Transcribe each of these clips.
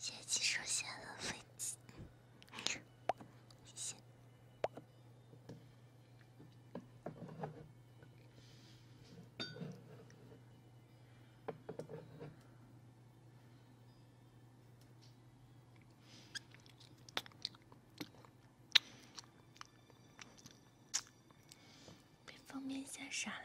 谢谢你说谢了飞机，谢谢。被封面吓傻了。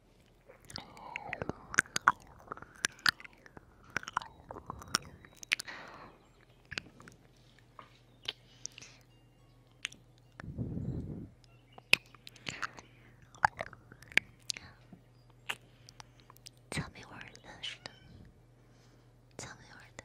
草莓味的，是的，草莓味的。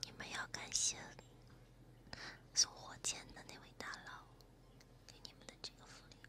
你们要感谢送火箭的那位大佬给你们的这个福利。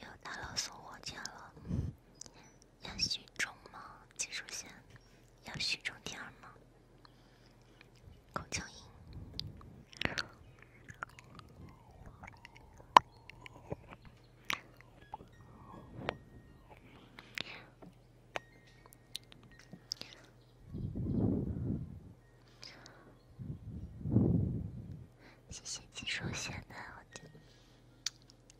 要大佬送我天了，要许中吗？金树贤，要许中天吗？口交音，谢谢技术线的，我的。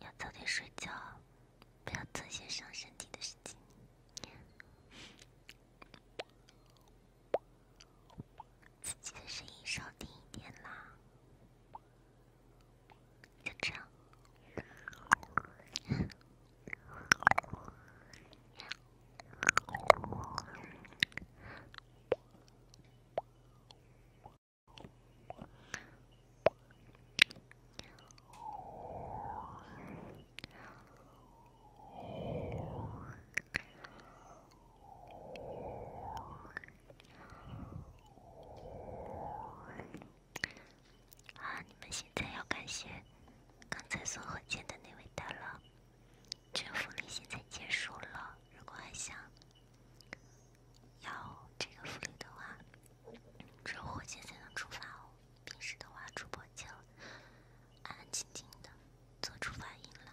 要早点睡觉。不要做些伤身体的事情。自己的声音小点一点啦，就这样。啊！你们现在要感谢刚才送火箭的那位大佬。征服令现在结束了，如果还想。要这个福利的话，只有火箭才能触发哦。平时的话，主播就安安静静的做出反应了。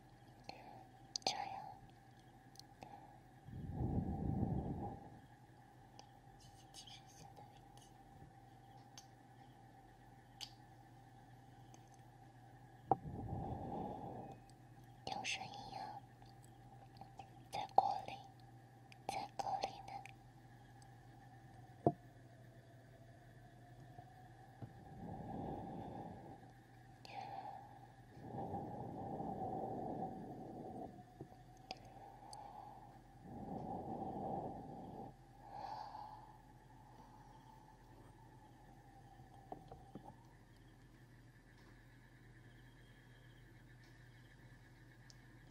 这样。有声音啊，在锅里，在锅里呢。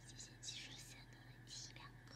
谢谢技术线的提两个。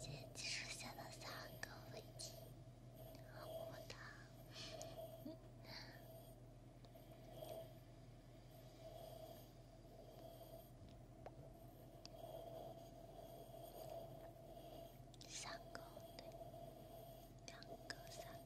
姐姐剩下的三个问题，么么哒。三个对，两个三。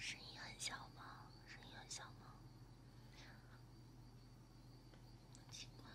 声音很小吗？声音很小吗？奇怪。